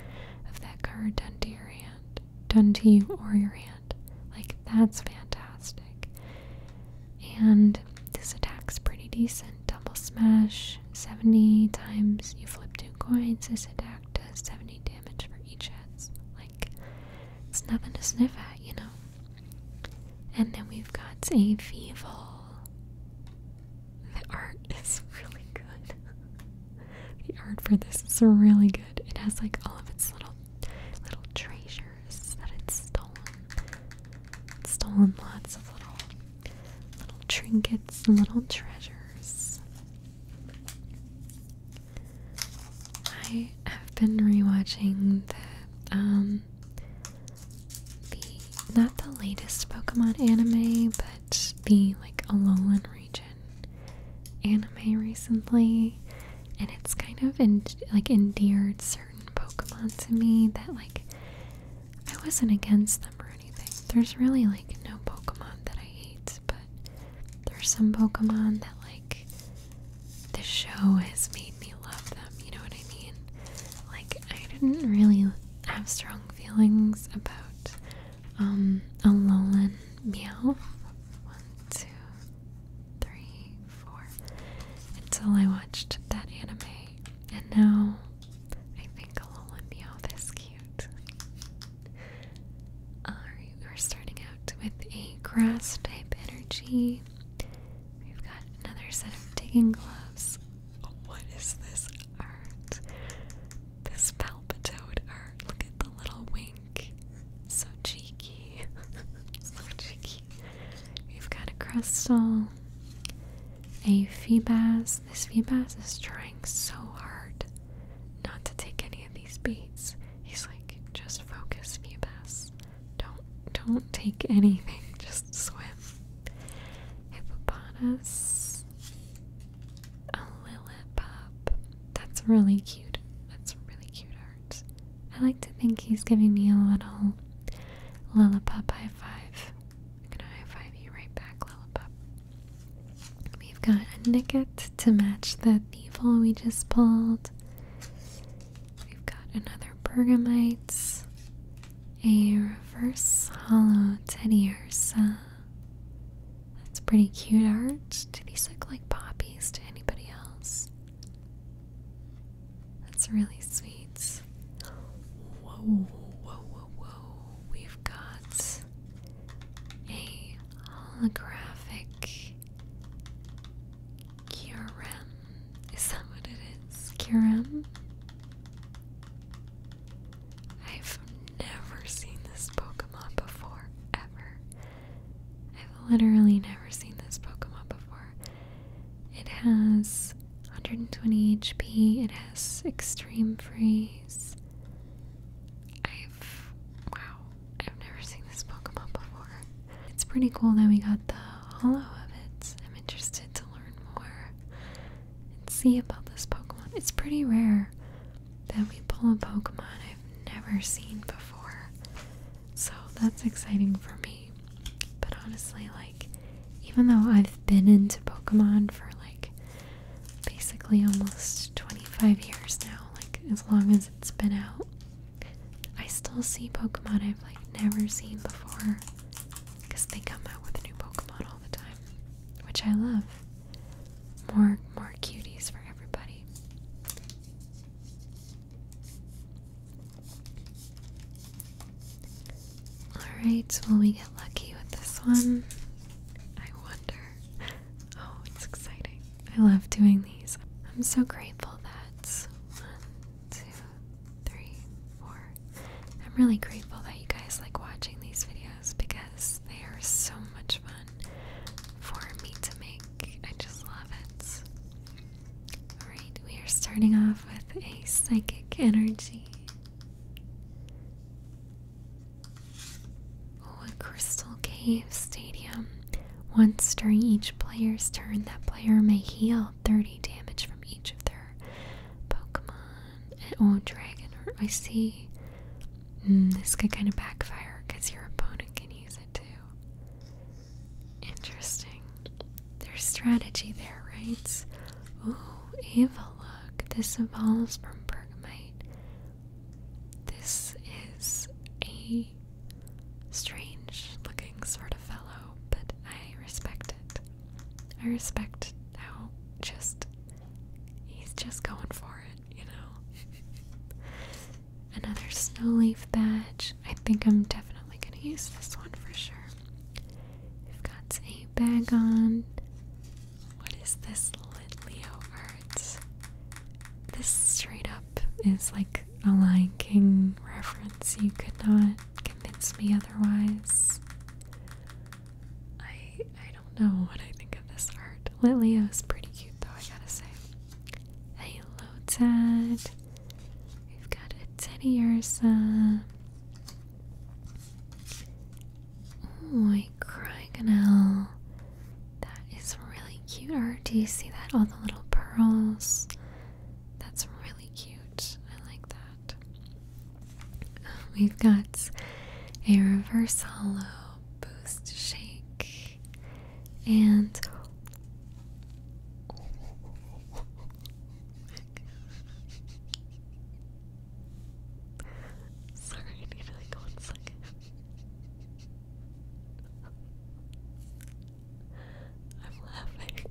of that card done to your hand done to you or your hand. Like, that's fantastic. And this attack's pretty decent. Double smash 70 times you flip two coins. This attack does 70 damage for each hit. Like, it's nothing to sniff at, you know? And then we've got a Feeble. The art is really good. The art for this is really good. It has like all of its little little treasures that it's stolen. stolen lots of little little trinkets and little treasures. I have been rewatching the um the not the latest Pokemon anime, but watched the like Alolan region anime recently and it's kind of en like endeared certain Pokemon to me that like I wasn't against them or anything. There's really like no Pokemon that I hate, but there's some Pokemon that like the show has made me love them, you know what I mean? Like I didn't really have strong feelings about um, a lowland meow. One, two, three, four. Until I watched that anime, and now I think a lowland meow is cute. Alright, uh, we're starting out with a grass type energy. We've got another set of digging gloves. What is this art? This palpitoad art. Look at the little wings. So cheeky. so cheeky. We've got a crystal. A Feebas. This Feebas is trying so hard not to take any of these beats. He's like, just focus, Feebas. Don't don't take anything, just swim. Hippopotamus a Lillipop. That's really cute. That's really cute art. I like to think he's giving me a little lollipop high five. high five you right back, Lillipop. We've got a Nicket to match the Thievul we just pulled. We've got another Bergamite, a reverse hollow Teddy Ursa, that's pretty cute art. Do these look like poppies to anybody else? That's really sweet. Whoa, whoa, whoa, whoa. We've got a holographic Kyurem. Is that what it is? Kyurem? I never seen this Pokemon before, ever. I've literally never seen this Pokemon before. It has 120 HP, it has extreme freeze. I've. Wow, I've never seen this Pokemon before. It's pretty cool that we got the hollow of it. I'm interested to learn more and see about this Pokemon. It's pretty rare that we pull a Pokemon I've never seen before. So that's exciting for me. But honestly, like, even though I've been into Pokemon for like basically almost 25 years now, like as long as it's been out, I still see Pokemon I've like never seen before because they come out with new Pokemon all the time, which I love. More more cuties for everybody. Alright, will we get lucky with this one? I wonder. Oh, it's exciting. I love doing these. I'm so grateful that one, two, three, four. I'm really grateful that you guys like watching these videos because they are so much fun for me to make. I just love it. Alright, we are starting off with a psychic energy. Oh, a crystal cave stadium. Once during each player's turn, that player may heal 30 damage from each of their Pokemon. Oh, dragon. I see. Mm, this could kind of backfire because your opponent can use it too. Interesting. There's strategy there, right? Oh, evil look. This evolves from bergamite. This is a strange looking sort of fellow, but I respect it. I respect how just he's just going for it you know. Another snow leaf badge. I think I'm definitely going to use this one for sure. We've got a bag on. What is this Litleo art? This straight up is like a Lion King reference. You could not convince me otherwise. I I don't know what I think of this art. Lit Leo is pretty cute though, I gotta say. Hello, Dad. We've got a teddy ursa. Oh, a crocodile. That is really cute art. Do you see that? All the little pearls. That's really cute. I like that. We've got a reverse hollow boost shake and sorry, I need like one second. I'm laughing.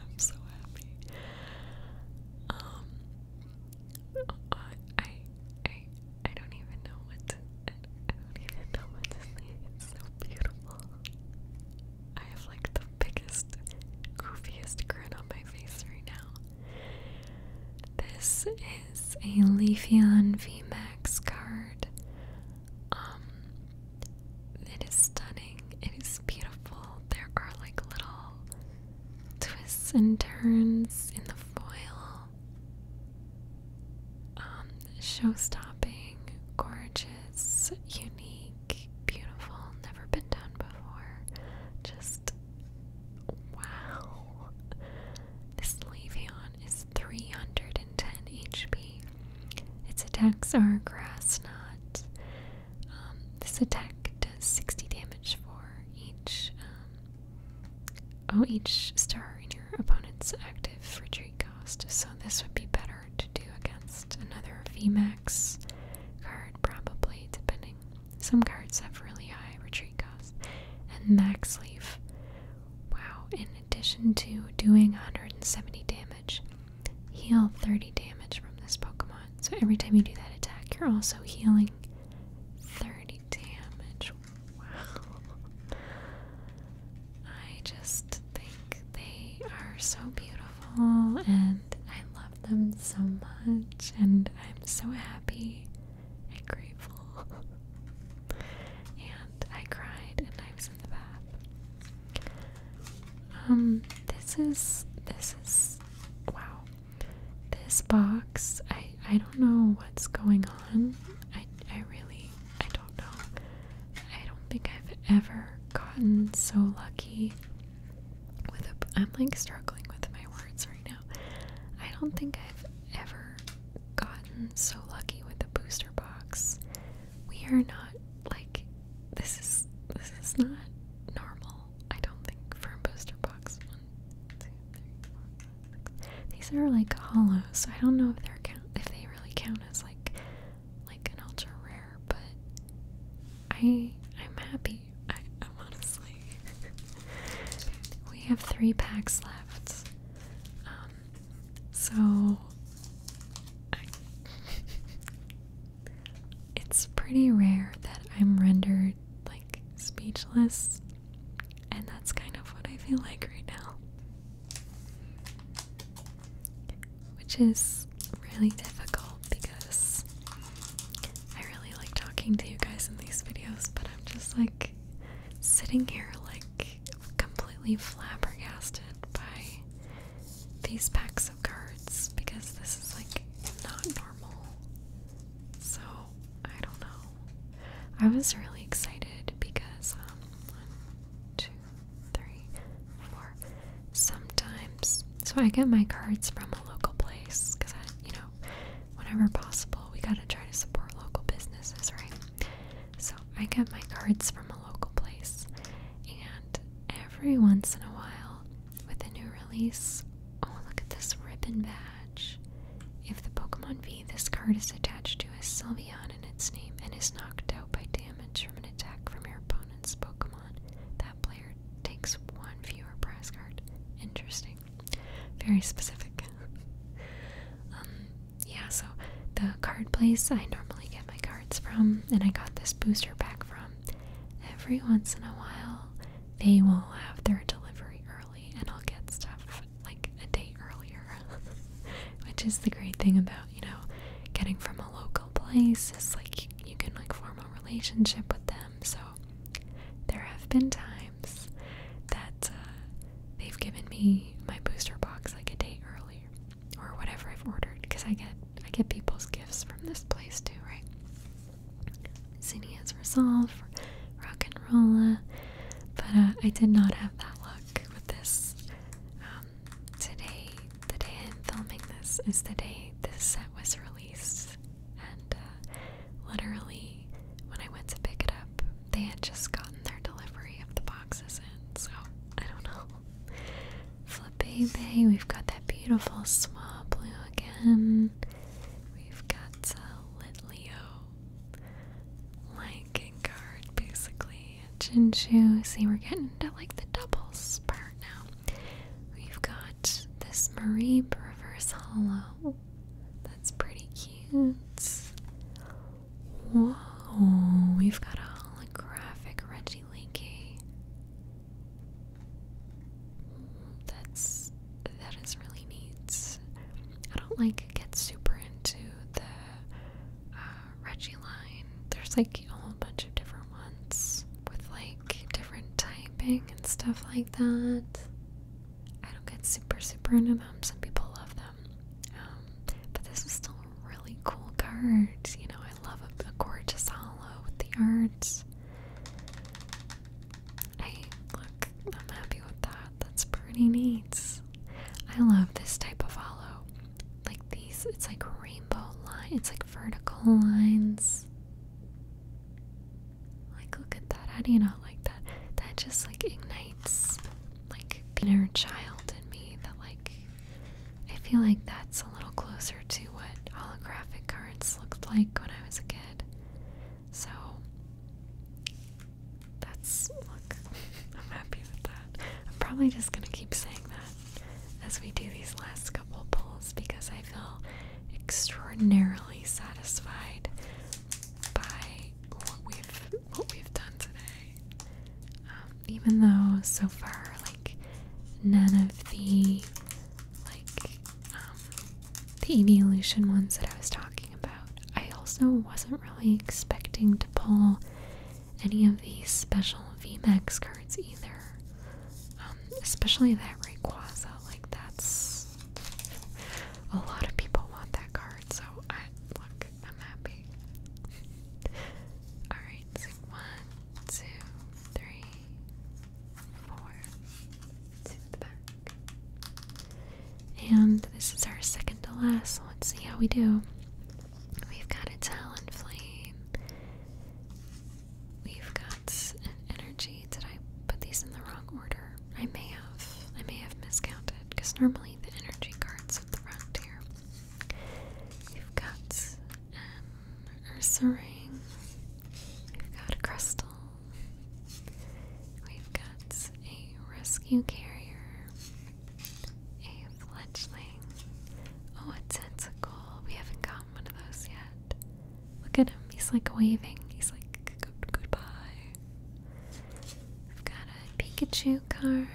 I'm so happy. Um I, I, I, I don't even know what I, don't even know what to say. It's so beautiful. I have like the biggest, goofiest grin on my face right now. This is a Leafeon VMAX card. Um, it is stunning. It is beautiful. There are like little twists and turns in the foil. Um, show stopping, gorgeous, unique, beautiful, never been done before. Just wow. This Levion is 310 HP. Its attacks are grass knot. Um, this attack does 60 damage for each um, OH each star in your opponent's active retreat cost, so this would be better to do against another VMAX card, probably, depending. Some cards have really high retreat cost. And Max Leaf. Wow, in addition to doing 170 damage, heal 30 damage from this Pokemon. So every time you do that attack, you're also healing 30 damage. Wow. I just think they are so beautiful and I love them so much and I'm so happy and grateful. and I cried and I was in the bath. Um this is this is wow. This box I I don't know what's going on. I I really I don't know. I don't think I've ever gotten so lucky with a I'm like struggling with my words right now. I don't think I've ever gotten so lucky with a booster box. We are not like this is this is not normal. I don't think for a booster box. These are like hollows, so I don't know if they're if they really count as like like an ultra rare, but I I'm happy. I, I'm honestly. we have three packs left. Um, so it's pretty rare that I'm rendered like speechless and that's kind of what I feel like right now. Which is really difficult because I really like talking to you guys in these videos, but I'm just like sitting here like completely flabbergasted by these packs of cards because this is like not normal. So, I don't know. I was really excited because, um, one, two, three, four. Sometimes, so I get my cards from a local place because you know, whenever possible, we gotta try to support local businesses, right? So I get my cards from a local place, and every once in a while, with a new release, oh, look at this ribbon bag. If the Pokemon V this card is attached to has Sylvian in its name and is knocked out by damage from an attack from your opponent's Pokemon, that player takes one fewer prize card. Interesting. Very specific. Um, yeah, so the card place I normally get my cards from, and I got this booster pack from, every once in a while they will have their delivery early and I'll get stuff like a day earlier, which is the great thing about, you know, getting from a local place is like you, can like form a relationship with them. So there have been times that uh, they've given me my booster box like a day earlier or whatever I've ordered because I get I get people's gifts from this place too, right? Zinnia's Resolve, rock and rolla, but uh, I did not have that look with this. Um, today, the day I'm filming this is the day this set was released, and uh, literally when I went to pick it up, they had just gotten their delivery of the boxes in. So I don't know. Flippy we've got that beautiful small blue again. We've got uh, Leo, like card basically. Chinshu, see we're getting to like the doubles part now. We've got this Marie reverse hollow. That's pretty cute. Whoa, we've got a holographic Reggie Linky. That's that is really neat. I don't like get super into the uh, Reggie line. There's like a whole bunch of different ones with like different typing and stuff like that. I don't get super super into them. Some people love them, um, but this is still a really cool card. You know, I love a, gorgeous hollow with the arts. I look, I'm happy with that. That's pretty neat. I love this type of hollow. Like these, it's like rainbow line. It's like vertical lines. Like look at that. How do you not like that? That just like ignites like an inner child in me that like I feel like that's a little closer to what holographic cards looked like when I was a kid. So that's look, I'm happy with that. I'm probably just gonna keep saying that as we do these last couple pulls because I feel extraordinarily satisfied by what we've what we've done today. Um, even though so far like none of the like um, the evolution ones that I was talking I also wasn't really expecting to pull any of these special VMAX cards either. Um, especially that Rayquaza, like that's a lot of people want that card, so I look, I'm happy. Alright, so and this is our second to last. Let's see how we do. We've got a talent flame. We've got an energy. Did I put these in the wrong order? I may have. I may have miscounted because normally the energy cards at the front here. We've got an um, Ursa We've got a crystal. We've got a rescue carrier, a fledgling, oh, a tentacle. We haven't gotten one of those yet. Look at him, he's like waving. He's like, goodbye. I've got a Pikachu card,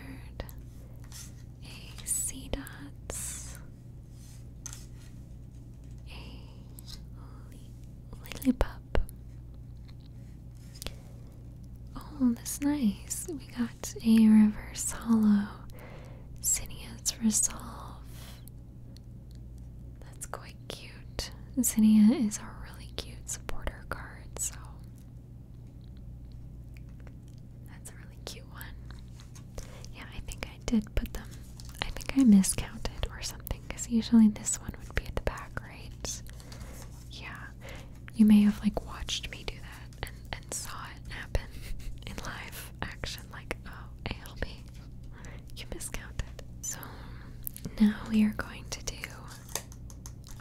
a C dots, a Lilliput. Oh, that's nice. We got a reverse hollow. Zinia's Resolve. That's quite cute. Zinia is a really cute supporter card, so that's a really cute one. Yeah, I think I did put them. I think I miscounted or something, because usually this one would be at the back, right? Yeah, you may have like watched me do that and, and saw it happen in live action, like oh ALB, you miscounted. So now we are going to do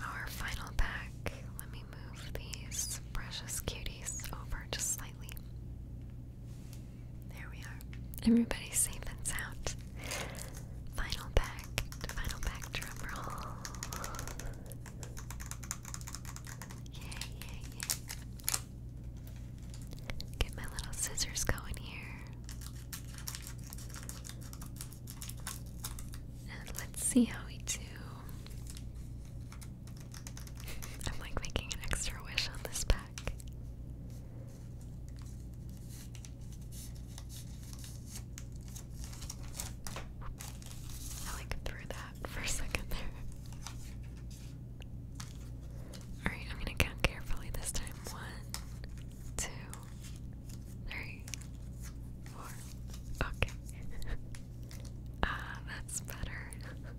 our final pack. Let me move these precious cuties over just slightly. There we are. Everybody safe and sound. Final pack, final pack drum yay. Get my little scissors going here. And let's see how we do. I'm like making an extra wish on this pack. I like threw that for a second there. Alright, I'm gonna count carefully this time. One, two, three, four. Okay. Ah, that's better.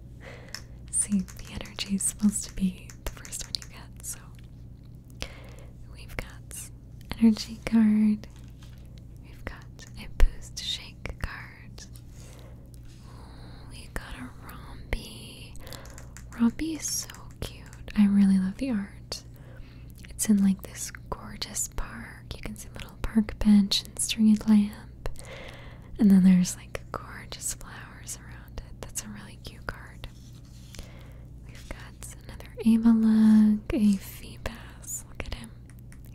See, the energy is supposed to be the first one you get, so We've got energy card. We've got a boost shake card. we got a Rombi. Rombi is so cute. I really love the art. It's in like this gorgeous park. You can see a little park bench and stringed lamp. And then there's like gorgeous flowers around it. That's a really cute card. We've got another Avalug, a Phoebas. Look at him.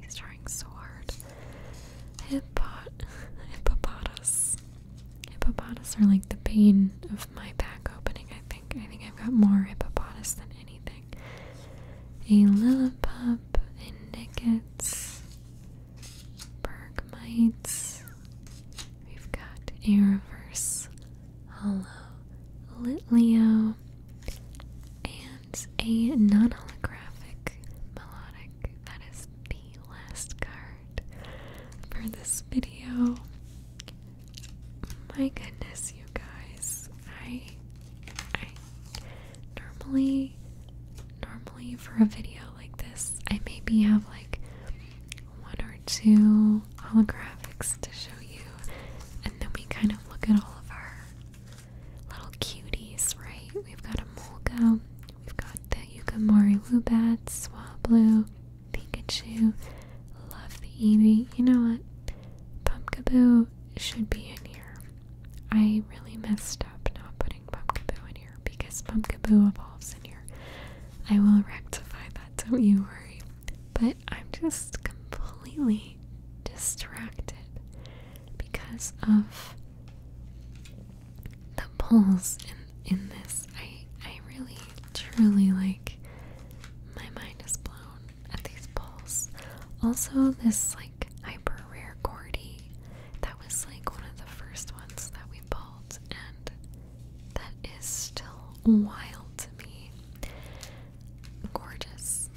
He's trying so hard. Hippot hippopotas. Hippopotas are like the pain of my back opening, I think. I think I've got more hippopotas than anything. A Lillipup, a Nickets, Bergmites. We've got a reverse Hollow Leo, and a non holographic melodic. That is the last card for this video. My goodness, you guys. I I normally normally for a video like this I maybe have like one or. To holographics to show you, and then we kind of look at all of our little cuties, right? We've got a Molga, we've got the Yukamori Lubat, Swablu, Pikachu, love the Eevee. You know what? Pumpkaboo should be in here. I really messed up not putting Pumpkaboo in here because Pumpkaboo evolves in here. I will rectify that, don't you worry. But I'm just completely distracted because of the pulls in in this. I I really truly like my mind is blown at these pulls. Also this like hyper rare cordy that was like one of the first ones that we pulled and that is still wild to me. Gorgeous.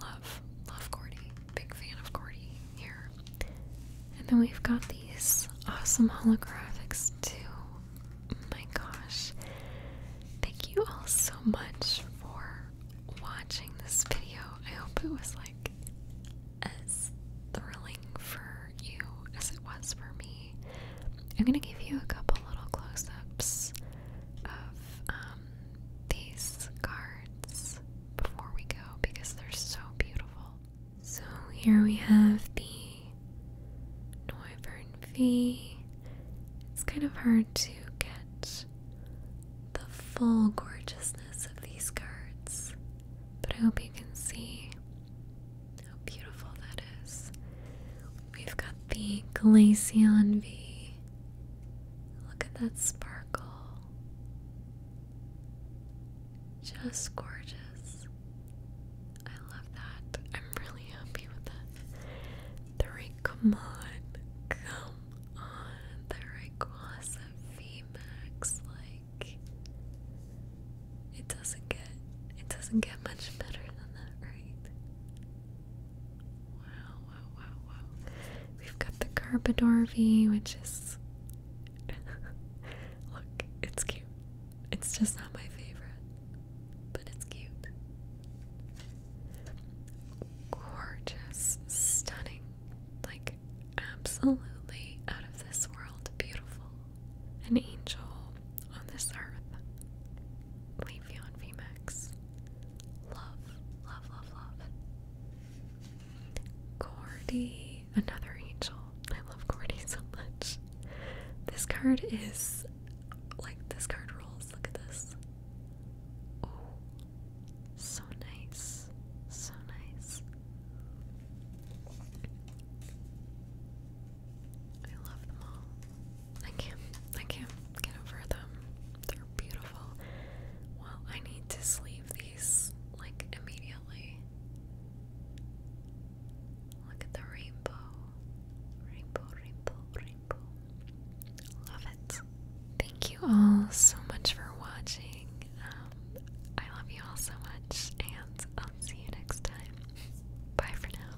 Love, love Cordy. Big fan of Cordy here. And then we've got these awesome holographics too. My gosh. Thank you all so much for watching this video. I hope it was like as thrilling for you as it was for me. I'm gonna give you a couple little close ups of um, these cards before we go because they're so beautiful. So here we have the Noivern V. It's kind of hard to get the full gorgeousness of these cards, but I hope you can see how beautiful that is we've got the Glaceon V. Look at that sparkle. Just gorgeous. I love that. I'm really happy with that. The Rayquaman. Come on. The Rayquaza VMAX. Like, it doesn't get, it doesn't get much better than that, right? Wow, wow, wow, wow. We've got the V, which is. Look, it's cute. It's just not my favorite, but it's cute. Gorgeous, stunning, like absolutely out of this world, beautiful. An angel on this earth. Leave you VMAX. Love, love, love, love. Gordy, another angel. I love Gordy so much. This card is like this card rules. Look at this. Oh, so nice. So nice. I love them all. I can't I can't get over them. They're beautiful. Well, I need to sleeve these like immediately. Look at the rainbow. Rainbow, rainbow, rainbow. Love it. Thank you all so much for watching. Um, I love you all so much, and I'll see you next time. Bye for now.